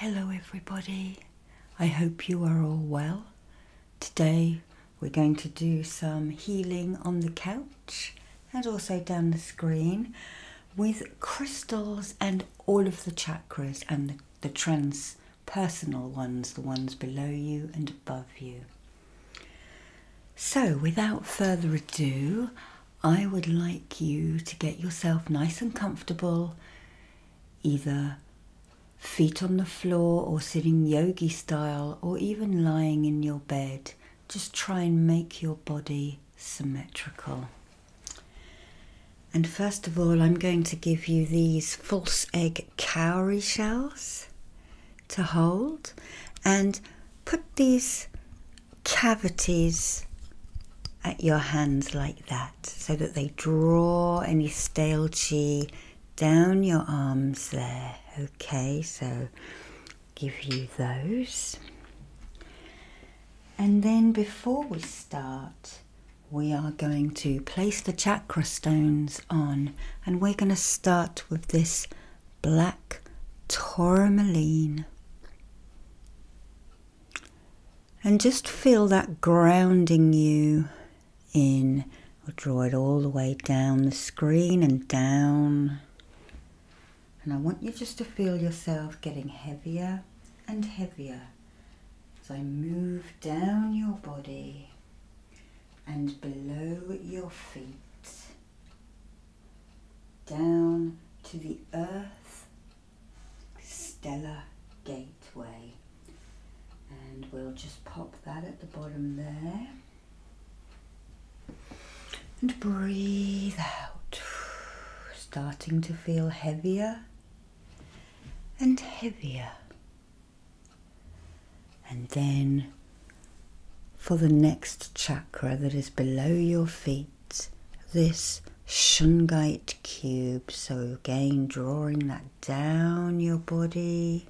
Hello, everybody. I hope you are all well. Today, we're going to do some healing on the couch and also down the screen with crystals and all of the chakras and the, transpersonal ones, the ones below you and above you. So, without further ado, I would like you to get yourself nice and comfortable, either feet on the floor or sitting yogi style, or even lying in your bed. Just try and make your body symmetrical. And first of all, I'm going to give you these false egg cowrie shells to hold and put these cavities at your hands like that so that they draw any stale qi down your arms there. Okay, so give you those. And then before we start, we are going to place the chakra stones on and we're going to start with this black tourmaline. And just feel that grounding you in. We'll draw it all the way down the screen and down. And I want you just to feel yourself getting heavier and heavier as I move down your body and below your feet down to the Earth Stellar Gateway. And we'll just pop that at the bottom there. And breathe out, starting to feel heavier and heavier. And then for the next chakra that is below your feet, this shungite cube. So, again, drawing that down your body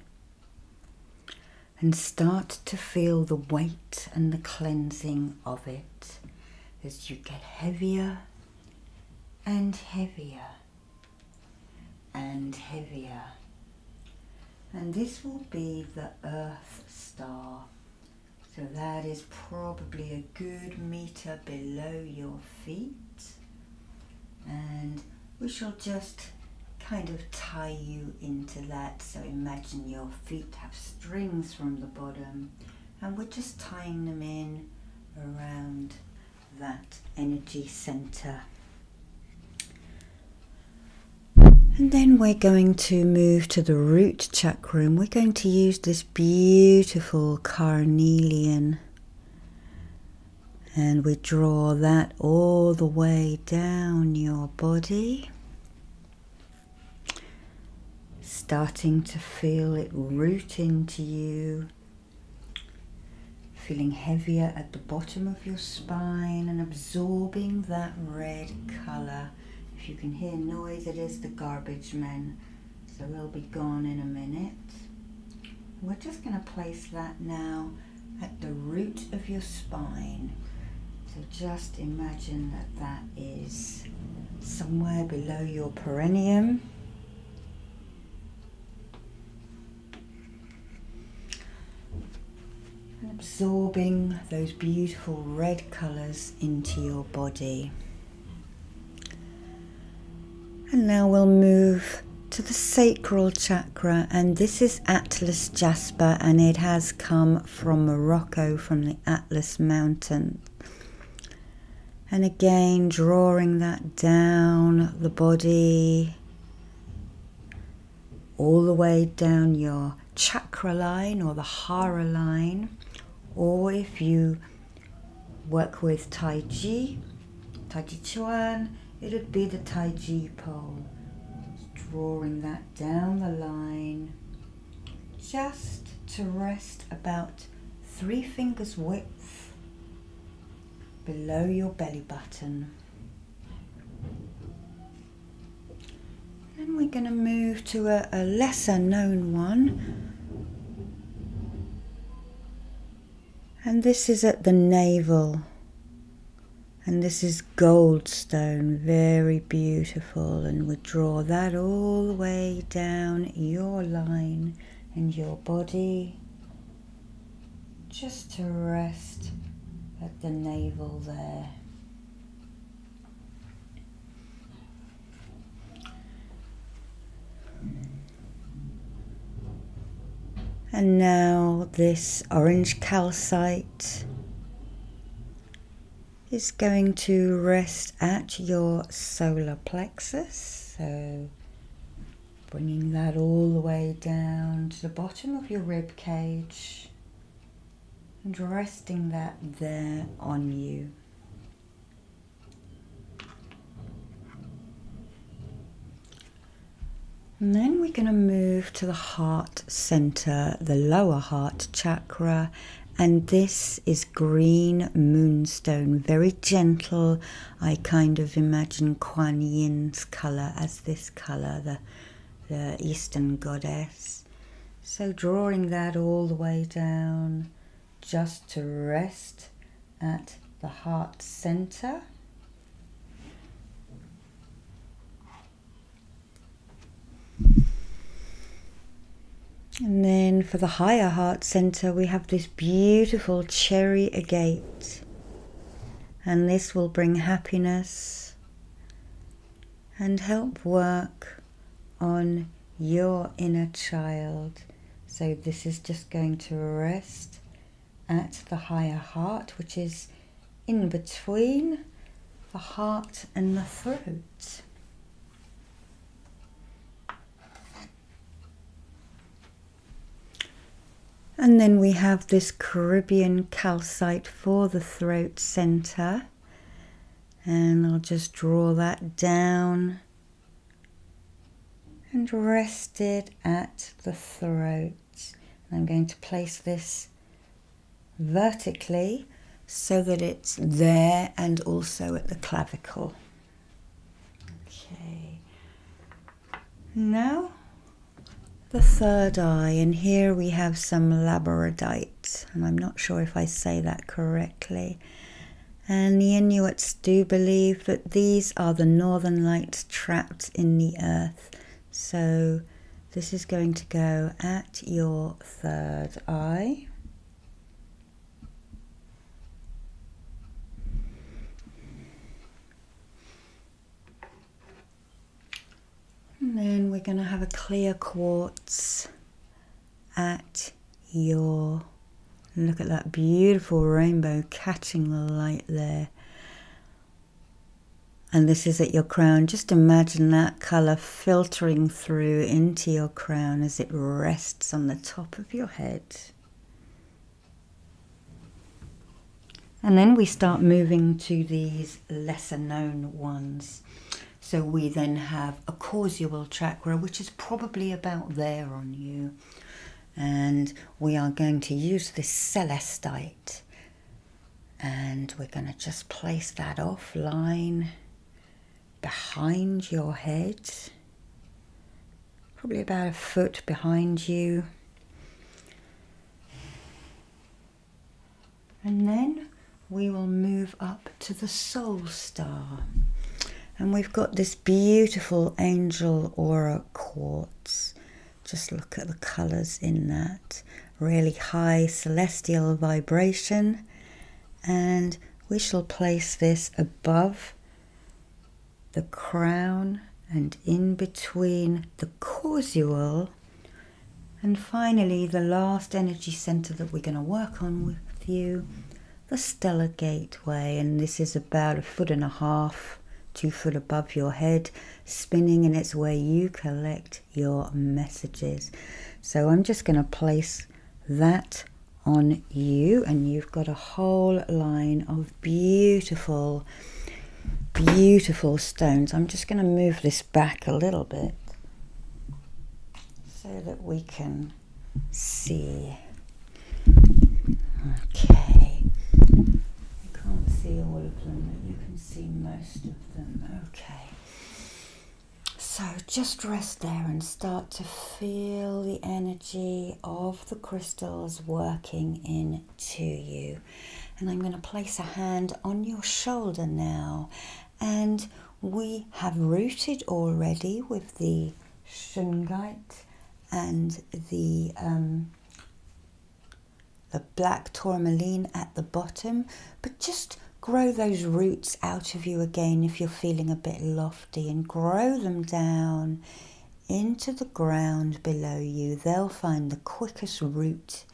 and start to feel the weight and the cleansing of it as you get heavier and heavier and heavier. And this will be the Earth Star so that is probably a good meter below your feet. And we shall just kind of tie you into that. So imagine your feet have strings from the bottom and we're just tying them in around that energy center. And then we're going to move to the root chakra we're going to use this beautiful carnelian and we draw that all the way down your body starting to feel it root into you feeling heavier at the bottom of your spine and absorbing that red color if you can hear noise, it is the garbage men. So they'll be gone in a minute. We're just going to place that now at the root of your spine. So just imagine that that is somewhere below your perineum. And absorbing those beautiful red colours into your body. And now we'll move to the sacral chakra, and this is Atlas Jasper, and it has come from Morocco from the Atlas Mountain. And again, drawing that down the body, all the way down your chakra line or the hara line, or if you work with Tai Chi, Tai Chi Chuan, it would be the Tai Chi pole. drawing that down the line just to rest about three fingers width below your belly button. Then we're going to move to a, lesser known one. And this is at the navel. And this is goldstone, very beautiful. And we draw that all the way down your line and your body just to rest at the navel there. And now this orange calcite is going to rest at your solar plexus. So bringing that all the way down to the bottom of your rib cage and resting that there on you. And then we're going to move to the heart center, the lower heart chakra, and this is green moonstone, very gentle. I kind of imagine Kuan Yin's color as this color, the, the eastern goddess. So drawing that all the way down just to rest at the heart center. And then for the higher heart center, we have this beautiful cherry agate. And this will bring happiness and help work on your inner child. So, this is just going to rest at the higher heart, which is in between the heart and the throat. And then we have this Caribbean calcite for the throat center and I'll just draw that down and rest it at the throat. And I'm going to place this vertically so that it's there and also at the clavicle. Okay. Now the third eye and here we have some labradite and I'm not sure if I say that correctly. And the Inuits do believe that these are the northern lights trapped in the earth. So this is going to go at your third eye. And then we're going to have a clear quartz at your. Look at that beautiful rainbow catching the light there. And this is at your crown. Just imagine that colour filtering through into your crown as it rests on the top of your head. And then we start moving to these lesser known ones. So we then have a causal chakra, which is probably about there on you. And we are going to use this celestite. And we're going to just place that off line, behind your head, probably about a foot behind you. And then we will move up to the soul star. And we've got this beautiful angel aura quartz. Just look at the colors in that. Really high celestial vibration. And we shall place this above the crown and in between the causal and finally, the last energy center that we're going to work on with you, the stellar gateway. And this is about a foot and a half, two foot above your head, spinning, and it's where you collect your messages. So I'm just going to place that on you, and you've got a whole line of beautiful, beautiful stones. I'm just going to move this back a little bit so that we can see. Okay. You can't see all of them, but you can see most of them. Okay. So just rest there and start to feel the energy of the crystals working in to you. And I'm going to place a hand on your shoulder now and we have rooted already with the shungite and the um, the black tourmaline at the bottom but just grow those roots out of you again if you're feeling a bit lofty and grow them down into the ground below you they'll find the quickest route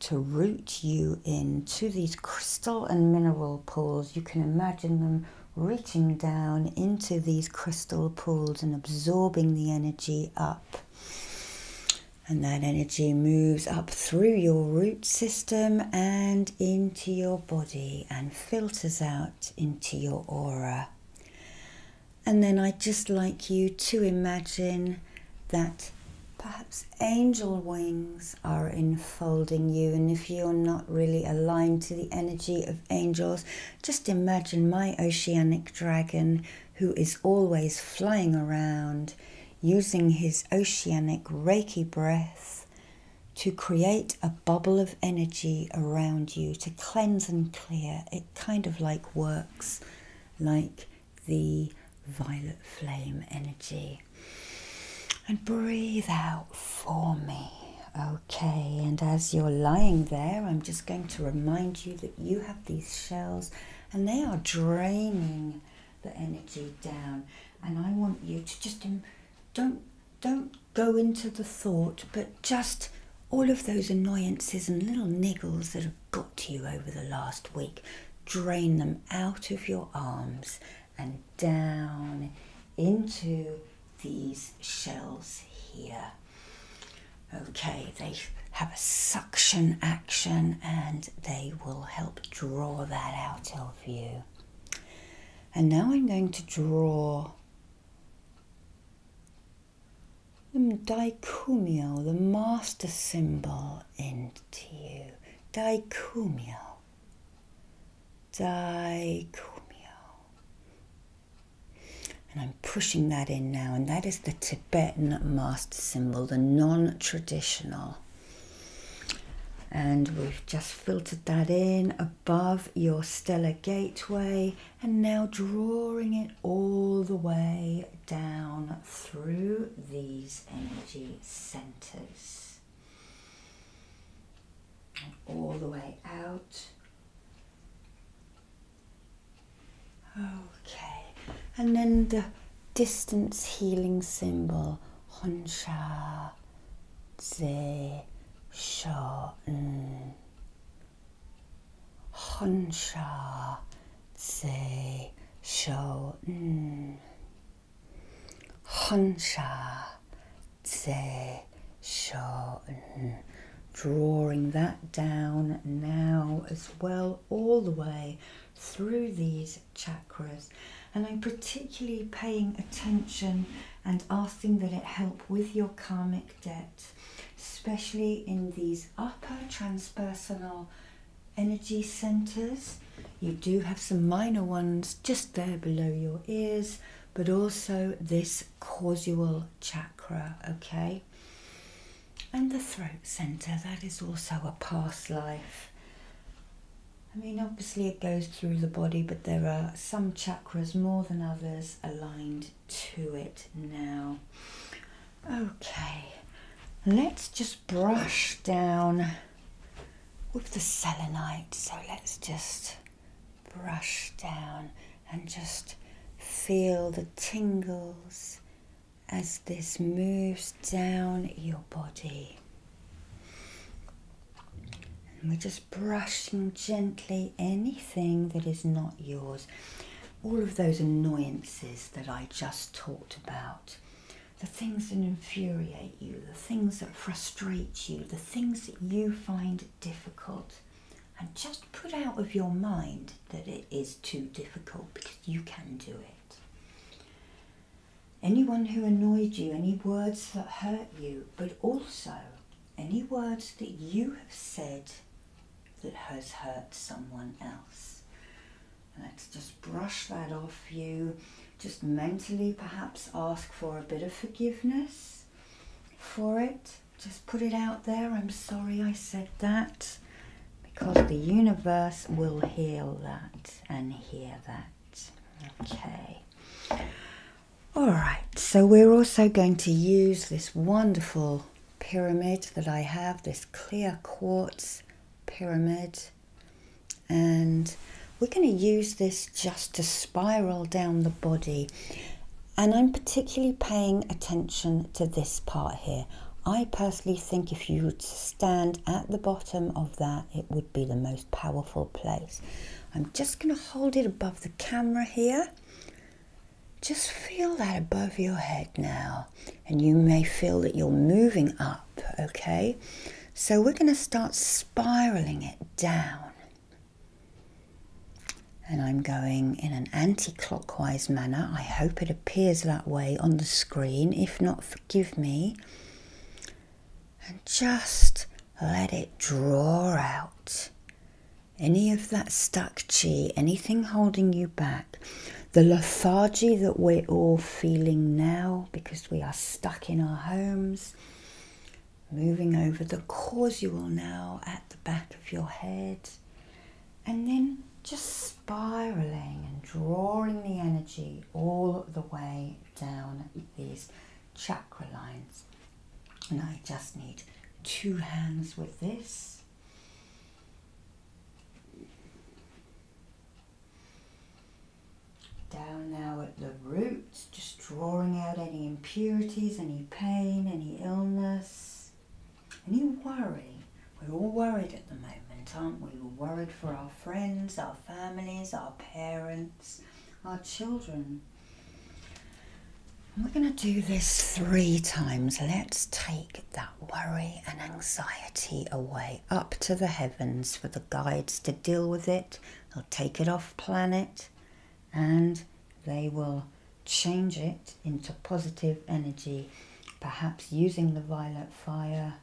to root you into these crystal and mineral pools. You can imagine them reaching down into these crystal pools and absorbing the energy up. And that energy moves up through your root system and into your body and filters out into your aura. And then I'd just like you to imagine that perhaps angel wings are enfolding you. And if you're not really aligned to the energy of angels, just imagine my oceanic dragon who is always flying around using his oceanic Reiki breath to create a bubble of energy around you to cleanse and clear. It kind of like works like the violet flame energy. And breathe out for me. Okay, and as you're lying there, I'm just going to remind you that you have these shells and they are draining the energy down. And I want you to just don't don't go into the thought, but just all of those annoyances and little niggles that have got to you over the last week. Drain them out of your arms and down into these shells here. Okay, they have a suction action and they will help draw that out of you. And now I'm going to draw the dichumio, the master symbol into and T U. Dicumio. Dicumio. And I'm pushing that in now, and that is the Tibetan master symbol, the non traditional. And we've just filtered that in above your stellar gateway, and now drawing it all the way down through these energy centers. And all the way out. Okay, and then the distance healing symbol Honsha Ze Sha Honsha Ze Sha Honsha Tse Drawing that down now as well, all the way through these chakras. And I'm particularly paying attention and asking that it help with your karmic debt, especially in these upper transpersonal energy centers. You do have some minor ones just there below your ears, but also this causal chakra, okay? And the throat center, that is also a past life. I mean, obviously, it goes through the body, but there are some chakras more than others aligned to it now. Okay, let's just brush down with the selenite. So let's just brush down and just feel the tingles as this moves down your body. And we're just brushing gently anything that is not yours. All of those annoyances that I just talked about the things that infuriate you, the things that frustrate you, the things that you find difficult. And just put out of your mind that it is too difficult because you can do it. Anyone who annoyed you, any words that hurt you, but also any words that you have said that has hurt someone else. Let's just brush that off you. Just mentally perhaps ask for a bit of forgiveness for it. Just put it out there. I'm sorry I said that. Because the universe will heal that and hear that. Okay. All right, so we're also going to use this wonderful pyramid that I have, this clear quartz pyramid. And we're going to use this just to spiral down the body. And I'm particularly paying attention to this part here. I personally think if you would stand at the bottom of that, it would be the most powerful place. I'm just going to hold it above the camera here. Just feel that above your head now and you may feel that you're moving up, okay? So we're going to start spiraling it down. And I'm going in an anti clockwise manner. I hope it appears that way on the screen. If not, forgive me. And just let it draw out any of that stuck chi, anything holding you back. The lethargy that we're all feeling now because we are stuck in our homes, moving over the causal now at the back of your head, and then just spiraling and drawing the energy all the way down these chakra lines. And I just need two hands with this. Down now at the roots, just drawing out any impurities, any pain, any illness, any worry. We're all worried at the moment, aren't we? We're worried for our friends, our families, our parents, our children. we're going to do this three times. Let's take that worry and anxiety away up to the heavens for the guides to deal with it. They'll take it off planet and they will change it into positive energy, perhaps using the violet fire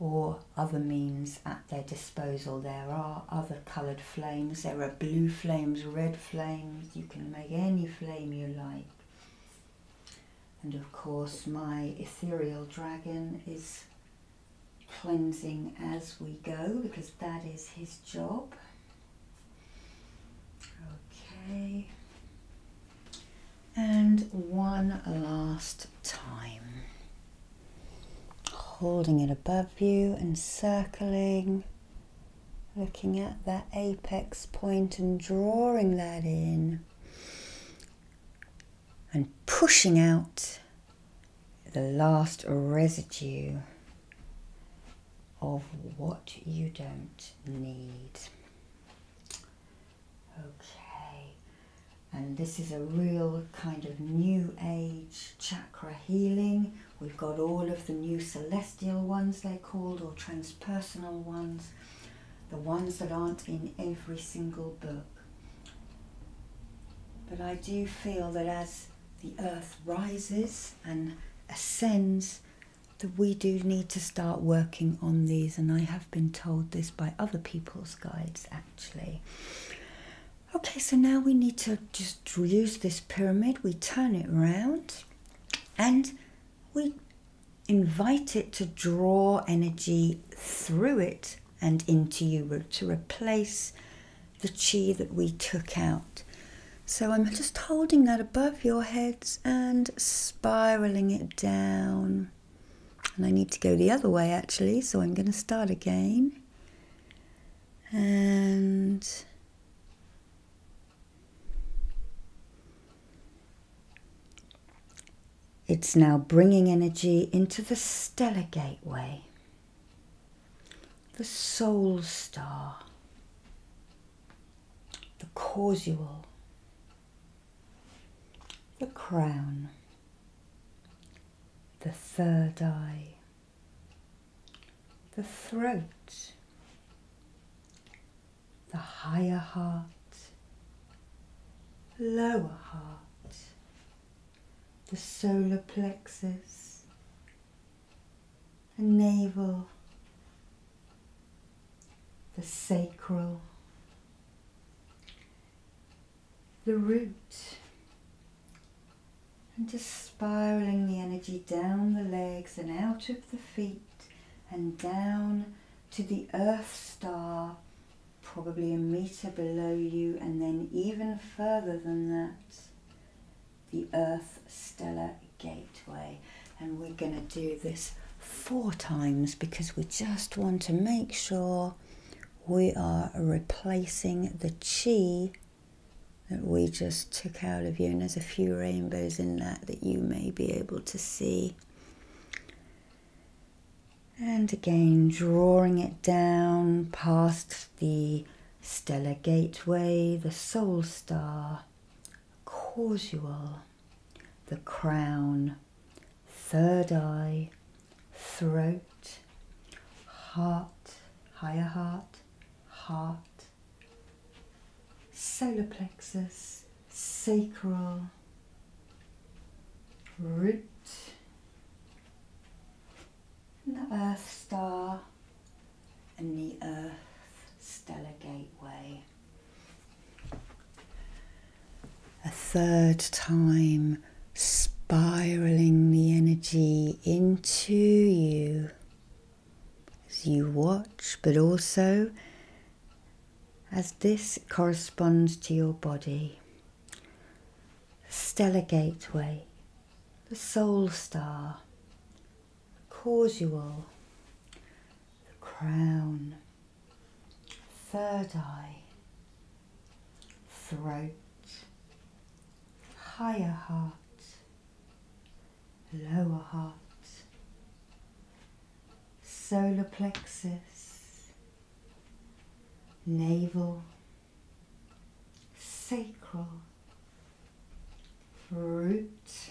or other means at their disposal. There are other coloured flames, there are blue flames, red flames, you can make any flame you like. And of course, my ethereal dragon is cleansing as we go because that is his job. Okay. And one last time. Holding it above you and circling, looking at that apex point and drawing that in and pushing out the last residue of what you don't need. Okay, and this is a real kind of new age chakra healing. We've got all of the new celestial ones, they're called, or transpersonal ones the ones that aren't in every single book. But I do feel that as the earth rises and ascends, that we do need to start working on these, and I have been told this by other people's guides actually. Okay, so now we need to just use this pyramid, we turn it round, and we invite it to draw energy through it and into you to replace the chi that we took out. So I'm just holding that above your heads and spiraling it down. And I need to go the other way actually, so I'm going to start again. And it's now bringing energy into the stellar gateway, the soul star, the causal, the crown, the third eye, the throat, the higher heart, lower heart, the solar plexus, the navel, the sacral, the root, and just spiraling the energy down the legs and out of the feet and down to the Earth star, probably a meter below you, and then even further than that, the Earth stellar gateway. And we're going to do this four times because we just want to make sure we are replacing the chi that we just took out of you. And there's a few rainbows in that that you may be able to see. And again, drawing it down past the stellar gateway, the soul star, causal, the crown, third eye, throat, heart, higher heart, heart, solar plexus, sacral, root, and the earth star and the earth stellar gateway. A third time, spiraling the energy into you as you watch, but also as this corresponds to your body. The stellar gateway, the soul star, causal, the crown, third eye, throat, higher heart, lower heart, solar plexus, navel, sacral, root,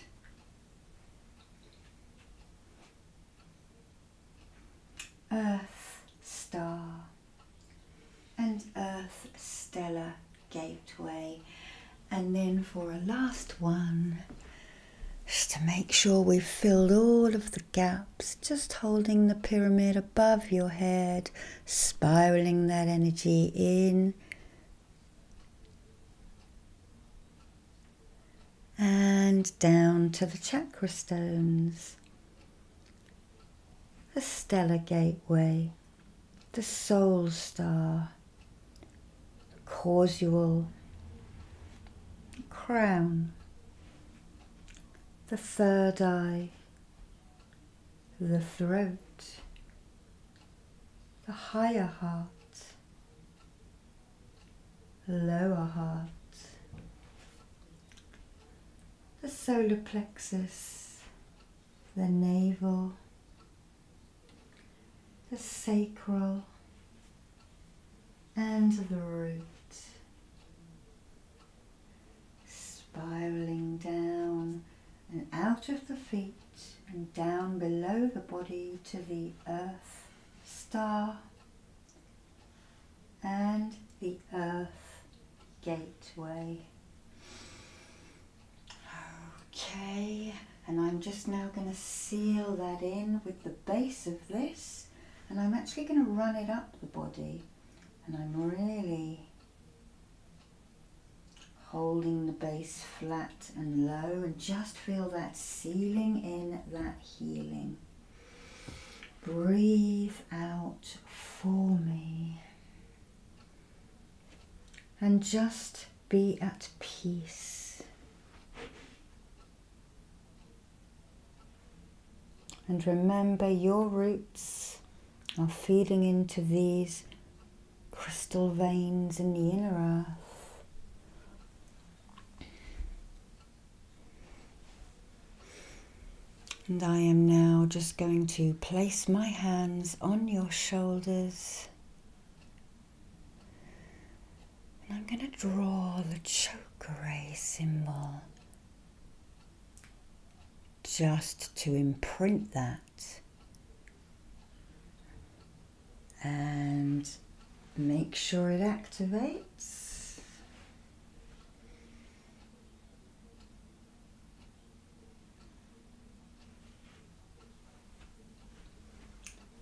earth star and earth stellar gateway and then for a last one just to make sure we've filled all of the gaps, just holding the pyramid above your head, spiraling that energy in and down to the chakra stones, the stellar gateway, the soul star, causal crown, the third eye, the throat, the higher heart, lower heart, the solar plexus, the navel, the sacral, and the root, spiraling down and out of the feet and down below the body to the earth star and the earth gateway. Okay, and I'm just now going to seal that in with the base of this and I'm actually going to run it up the body and I'm really holding the base flat and low and just feel that sealing in that healing. Breathe out for me and just be at peace. And remember, your roots are feeding into these crystal veins in the inner earth. And I am now just going to place my hands on your shoulders and I'm going to draw the chakra symbol just to imprint that and make sure it activates.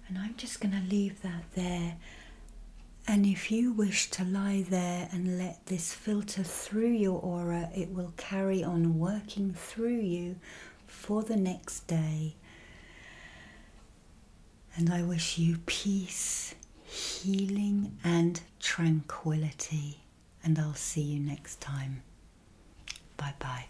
And I'm just going to leave that there. And if you wish to lie there and let this filter through your aura, it will carry on working through you for the next day. And I wish you peace, healing, and tranquility. And I'll see you next time. Bye bye.